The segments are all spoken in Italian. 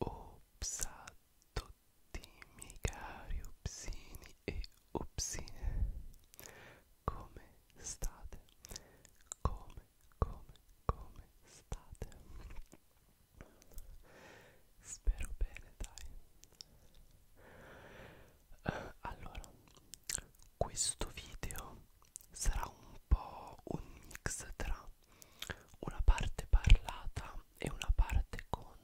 Ops a tutti i e upsine Come state? Come, come, come state? Spero bene dai eh, allora questo video sarà un po' un mix tra una parte parlata e una parte con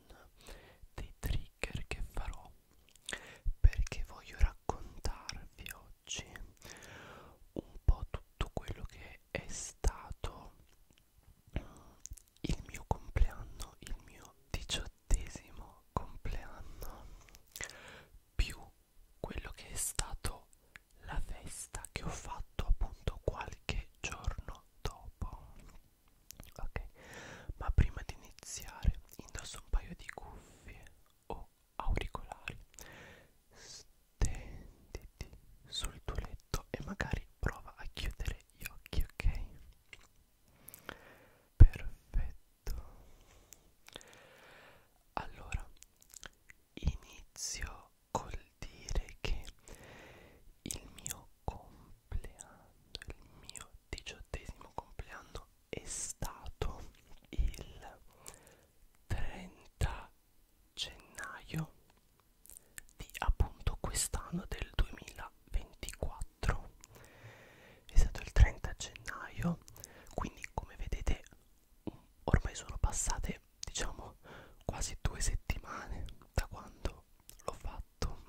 dei trigger che farò perché voglio raccontarvi oggi un po' tutto quello che è stato mm, il mio compleanno, il mio diciottesimo ventesimo compleanno più quello che è stato la festa che ho fatto appunto qualche giorno dopo ok ma prima di iniziare indosso un paio di cuffie o auricolari stenditi sul tuo letto e magari prova a chiudere gli occhi ok perfetto allora inizio col dire che il mio compleanno il mio diciottesimo compleanno è stato il 30 gennaio di appunto quest'anno del 2000 24 è stato il 30 gennaio quindi come vedete ormai sono passate diciamo quasi due settimane da quando l'ho fatto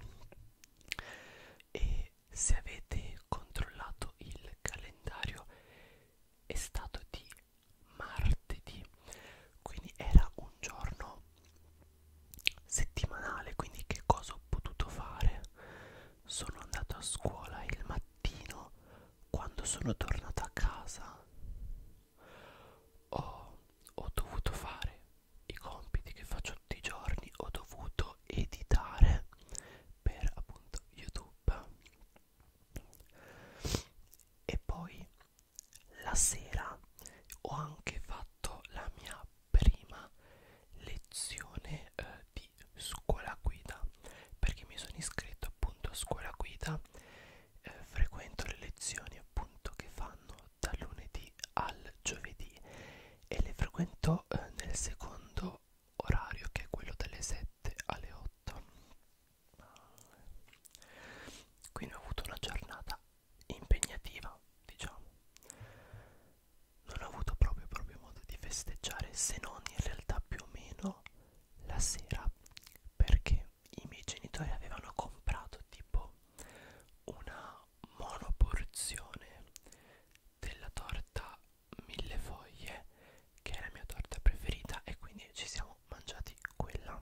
e se avete controllato il calendario è stato di martedì quindi era un giorno settimanale quindi che cosa ho potuto fare sono andato a scuola il mattino quando sono tornato a casa ho, ho dovuto fare i compiti che faccio tutti i giorni ho dovuto editare per appunto youtube e poi la sera ho anche fatto la mia prima lezione eh, di scuola guida perché mi sono iscritto appunto a scuola guida eh, frequento le lezioni appunto che fanno dal lunedì al giovedì e le frequento eh, nel secondo orario che è quello dalle 7 alle 8 quindi ho avuto una giornata impegnativa, diciamo. Non ho avuto proprio proprio modo di festeggiare se non in realtà più o meno la sera perché i miei genitori avevano comprato tipo una monoporzione della torta mille foglie che è la mia torta preferita e quindi ci siamo mangiati quella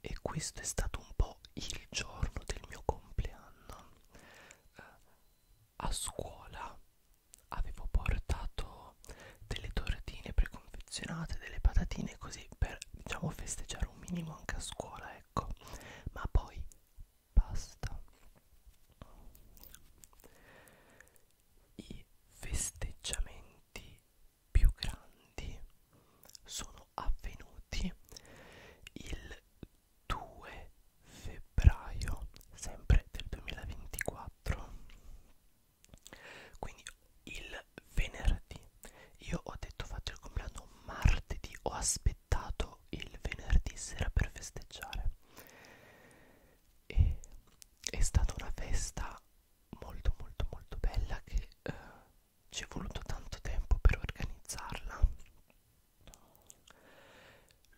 e questo è stato un po' il giorno del mio compleanno eh, a scuola avevo portato delle tortine preconfezionate delle patatine così per diciamo festeggiare un minimo anche a scuola ecco ma poi basta i festeggiamenti più grandi sono avvenuti il 2 febbraio sempre del 2024 quindi il venerdì io ho detto faccio il compleanno martedì ho aspettato il venerdì sera per festeggiare e è stata una festa molto molto molto bella che eh, ci è voluto tanto tempo per organizzarla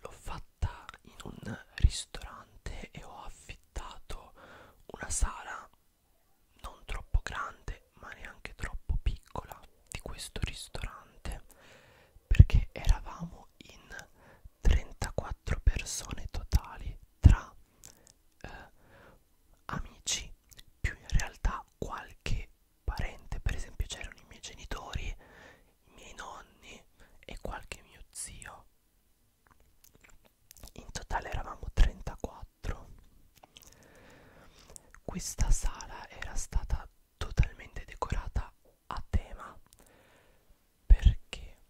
l'ho fatta in un ristorante e ho affittato una sala non troppo grande ma neanche troppo piccola di questo ristorante perché eravamo in 34 persone totali tra eh, amici più in realtà qualche parente, per esempio c'erano i miei genitori, i miei nonni e qualche mio zio. In totale eravamo 34. Questa sala era stata totalmente decorata a tema perché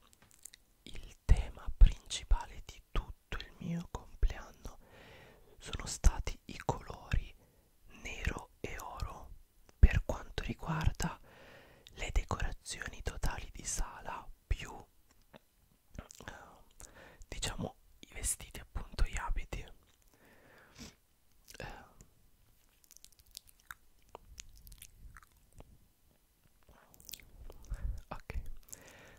il il tema principale di tutto il mio compleanno sono stati i colori nero e oro. Per quanto riguarda le decorazioni totali di sala più eh, diciamo i vestiti appunto gli abiti eh, ok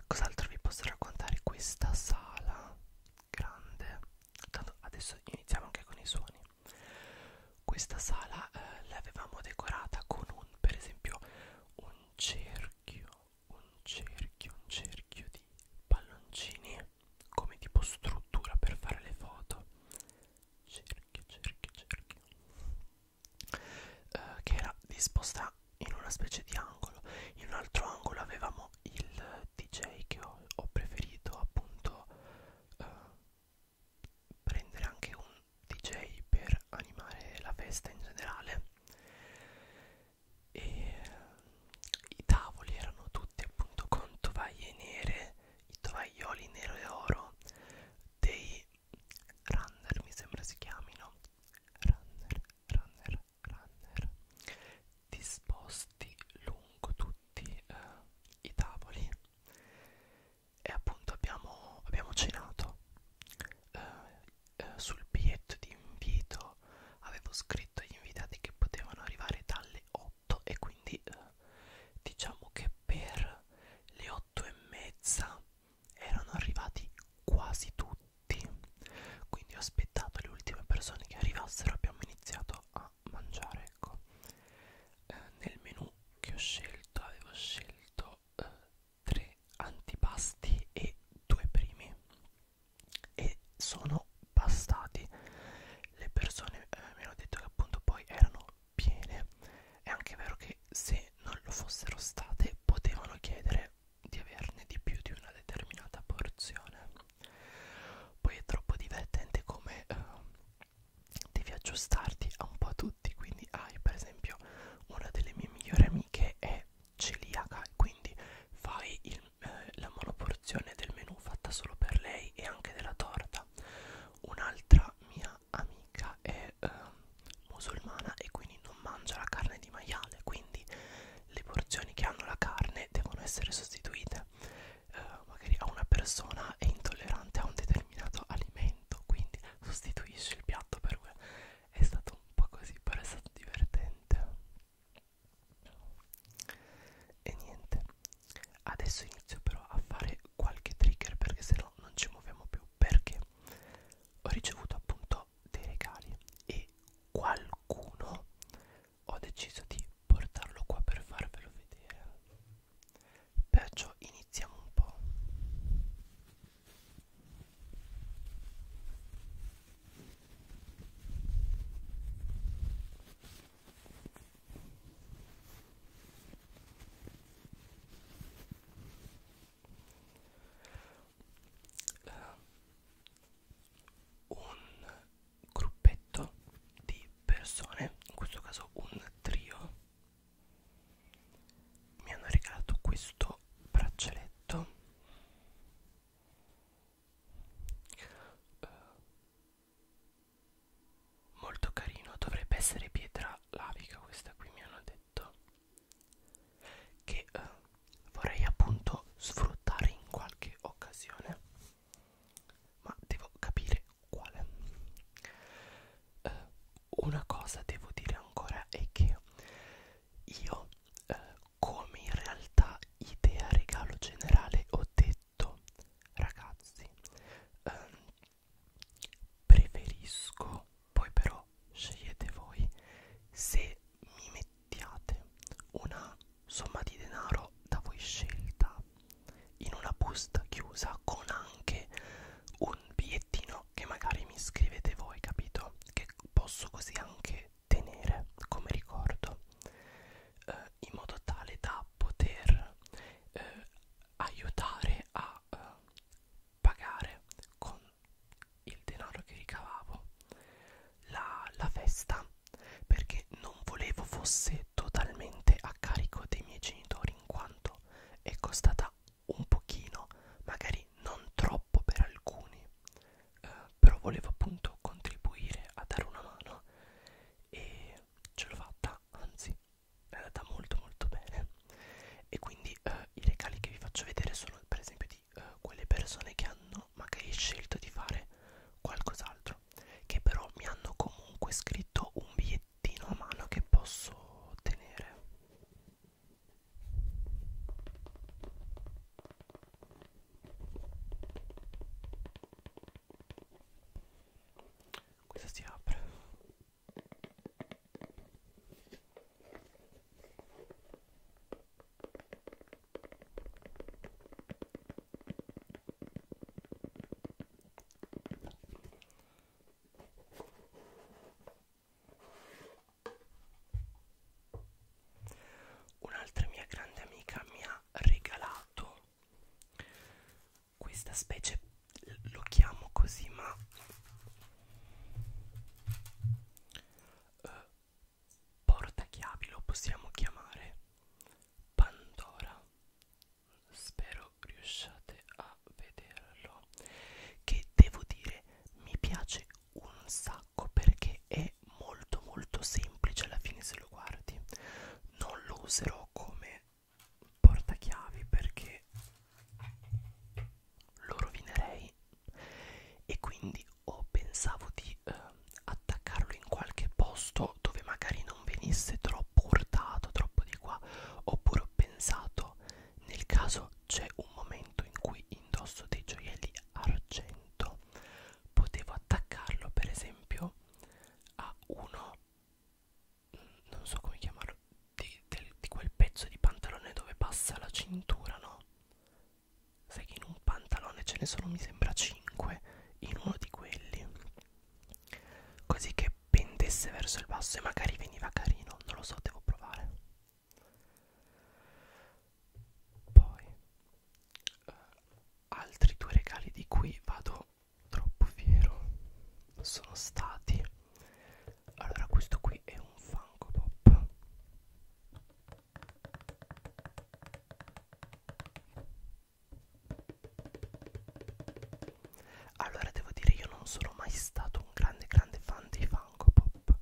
cos'altro vi posso raccontare questa sala grande Tanto adesso iniziamo anche con i suoni questa sala eh, l'avevamo decorata con un per esempio un cerchio un cerchio un cerchio di palloncini come tipo struttura per fare le foto cerchio cerchio cerchio eh, che era disposta in una specie di angolo in un altro angolo avevamo il DJ che ho, ho preferito appunto eh, prendere anche un DJ per animare la festa in generale e eh, i tavoli erano tutti appunto con tovaglie nere i tovaglioli nero e oro dei Runner mi sembra si chiamino Runner, runner, runner disposti lungo tutti eh, i tavoli e appunto abbiamo, abbiamo cenato eh, eh, sul biglietto di invito avevo scritto agli invitati che potevano arrivare dalle 8 e quindi eh, diciamo che per le 8 e mezza erano arrivati quasi tutti quindi ho aspettato le ultime persone che arrivassero abbiamo iniziato a mangiare ecco eh, nel menù che ho scelto avevo scelto eh, tre antipasti e due primi e sono bastati le persone eh, mi hanno detto che appunto poi erano piene è anche vero che che se non lo fossero state potevano chiedere di averne di più di una determinata porzione. Poi è troppo divertente come eh, devi aggiustarti a un po' a tutti, quindi hai ah, per esempio una delle mie migliori amiche è celiaca, quindi fai il, eh, la monoporzione del menù fatta solo per lei e anche della torta. Un'altra mia mia amica è eh, musulmana e quindi non mangia la carne di maiale quindi le porzioni che hanno la carne devono essere sostituite eh, magari a una persona è intollerante a un determinato alimento quindi sostituisce il piatto per me è stato un po' così però è stato divertente e niente adesso inizio però a fare qualche trigger perché se no non ci muoviamo più perché ho ricevuto appunto dei regali e qualcuno ho deciso di portarlo qua per farvelo vedere perciò iniziamo un po' eh, un gruppetto di persone, in questo caso un trio, mi hanno regalato questo braccialetto eh, molto carino, dovrebbe essere pietra lavica questa qui mi hanno detto che eh, vorrei appunto sfruttare in qualche occasione ma devo capire quale eh, una cosa devo dire ancora è che io eh, come in realtà idea regalo generale ho detto ragazzi ehm, preferisco poi però scegliete voi se mi mettiate una somma di denaro da voi scelta in una busta chiusa con anche un bigliettino che magari mi scrivete voi capito che posso così anche tenere come ricordo eh, in modo tale da poter eh, aiutare a eh, pagare con il denaro che ricavavo la, la festa perché non volevo fosse totalmente a carico dei miei genitori in quanto è costata un pochino magari non troppo per alcuni eh, però volevo appunto contribuire a dare una mano e ce l'ho fatta anzi è andata molto molto bene e quindi eh, i regali che vi faccio vedere sono per esempio di eh, quelle persone che hanno magari scelto di fare qualcos'altro che però mi hanno comunque scritto un bigliettino a mano che posso tenere questa si apre Un'altra mia grande amica mi ha regalato questa specie lo chiamo così, ma eh, portachiavi lo possiamo chiamare Pandora. Spero riusciate a vederlo. Che devo dire mi piace un sacco perché è molto molto semplice alla fine se lo guardi. Non lo userò come portachiavi perché lo rovinerei e quindi o pensavo di eh, attaccarlo in qualche posto dove magari non venisse troppo urtato, troppo di qua, oppure ho pensato nel caso c'è un momento in cui indosso dei gioielli argento, potevo attaccarlo per esempio a uno non so come chiamarlo di, del, di quel pezzo di pantalone dove passa la cintura no sai che in un pantalone ce ne sono mi sembra 5 in uno di quelli così che pendesse verso il basso e magari veniva carino non lo so devo provare poi eh, altri due regali di cui vado troppo fiero sono stati allora questo qui è un Funko Pop allora devo dire io non sono mai stato un grande grande fan dei Funko Pop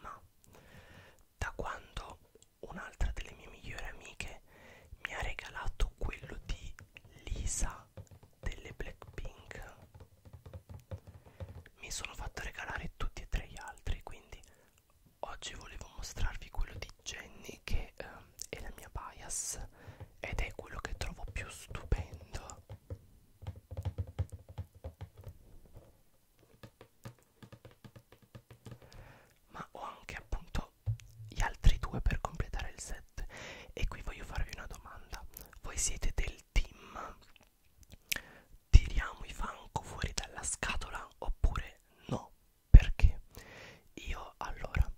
ma da quando un'altra delle mie migliori amiche mi ha regalato quello di Lisa delle Blackpink mi sono fatto regalare tutti e tre gli altri quindi oggi volevo mostrarvi quello di Jenny che eh, è la mia bias ed è quello che trovo più stupendo ma ho anche appunto gli altri due per completare il set e qui voglio farvi una domanda voi siete del team tiriamo i fanco fuori dalla scatola oppure no perché io allora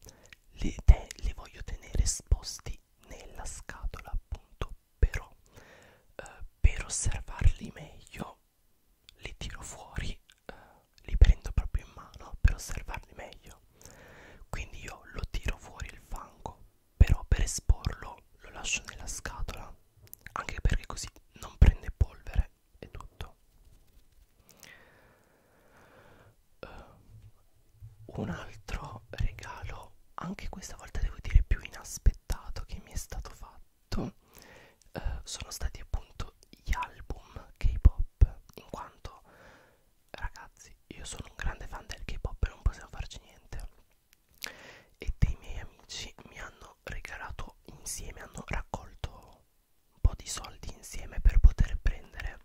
li, te, li voglio tenere esposti nella scatola appunto però eh, per osservarli meglio li tiro fuori eh, li prendo proprio in mano per osservarli meglio quindi io lo tiro fuori il fango però per esporlo lo lascio nella scatola anche perché così non prende polvere e tutto uh, un altro regalo anche questa volta devo dire più inaspettato che mi è stato fatto uh, sono stati appunto gli album K-pop K-pop in quanto ragazzi io sono un grande fan del K-pop e non possiamo farci niente e dei miei amici mi hanno regalato insieme hanno raccolto un po' di soldi insieme per poter prendere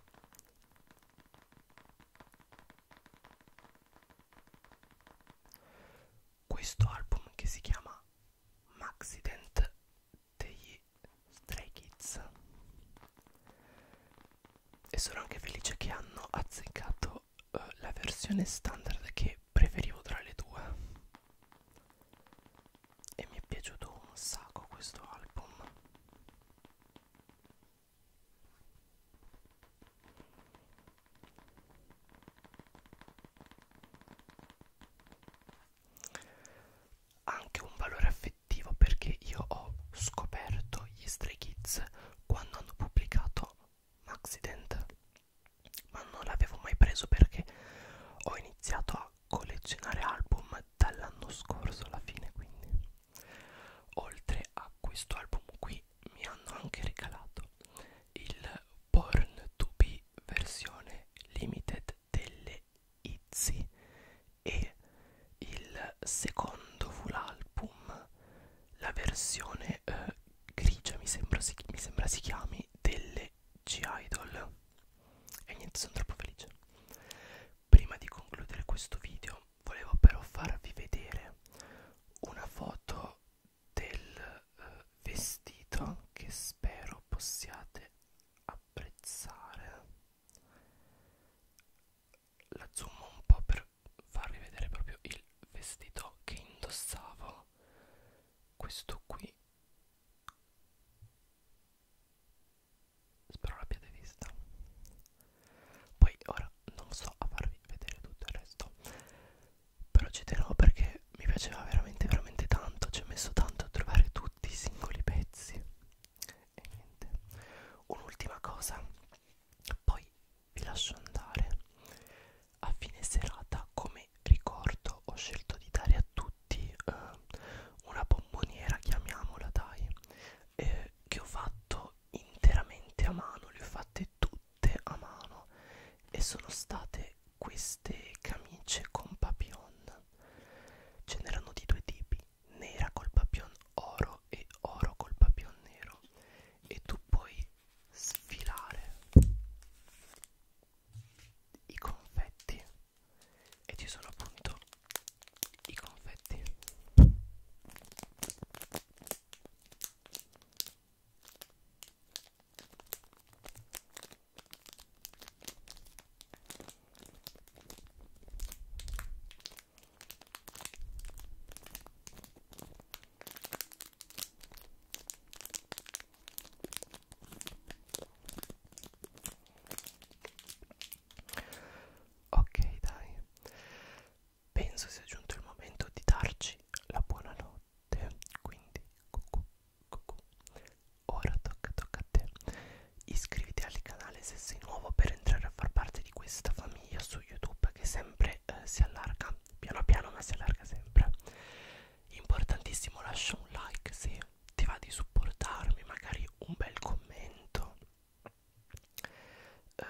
questo album che si chiama Maxident degli Stray Kids e sono anche felice che hanno azzeccato uh, la versione standard che preferivo tra le due e mi è piaciuto un sacco questo album anche un valore affettivo perché io ho scoperto gli Stray Kids quando hanno pubblicato Maxident ma non l'avevo mai preso perché ho iniziato a collezionare album dall'anno scorso alla fine quindi oltre a questo album qui mi hanno anche regalato il Born to Be versione limited delle Izzy e il secondo full album, la versione eh, grigia mi sembra, si, mi sembra si chiami, delle G-Idol e niente sono troppo felice prima di concludere questo video volevo però farvi vedere una foto del eh, vestito che spero possiate apprezzare apprezzare la zoom un po' per farvi vedere proprio il vestito che indossavo questo qui spero l'abbiate vista poi ora non so a farvi vedere tutto il resto però ci tenevo perché mi piaceva veramente veramente tanto ci ho messo tanto a trovare tutti i singoli pezzi e niente un'ultima cosa poi vi lascio andare a fine serata come ricordo ho scelto di dare a tutti eh, una bomboniera chiamiamola dai eh, che ho fatto interamente a mano le ho fatte tutte a mano e sono state queste queste camicie con papillon ce n'erano di due tipi nera col papillon oro e oro col papillon nero e tu puoi sfilare i confetti e ci sono appunto i confetti Ok, dai, penso sia giunto il momento di darci la buonanotte notte quindi cucù, cucù. ora tocca tocca a te iscriviti al canale se sei nuovo per entrare a far parte di questa famiglia su youtube che sempre eh, si allarga piano piano ma si allarga sempre importantissimo lascia un like se ti va di supportarmi magari un bel commento eh,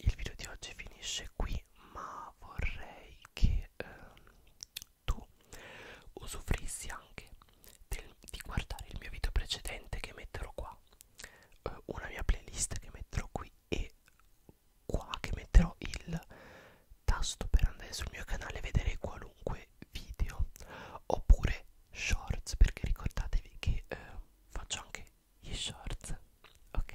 il video di oggi finisce qui ma vorrei che eh, tu usufruissi anche del, di guardare il mio video precedente che metterò qua, eh, una mia playlist che metterò qui e qua che metterò il tasto per andare sul mio canale e vedere qualunque video oppure shorts perché ricordatevi che eh, faccio anche gli shorts ok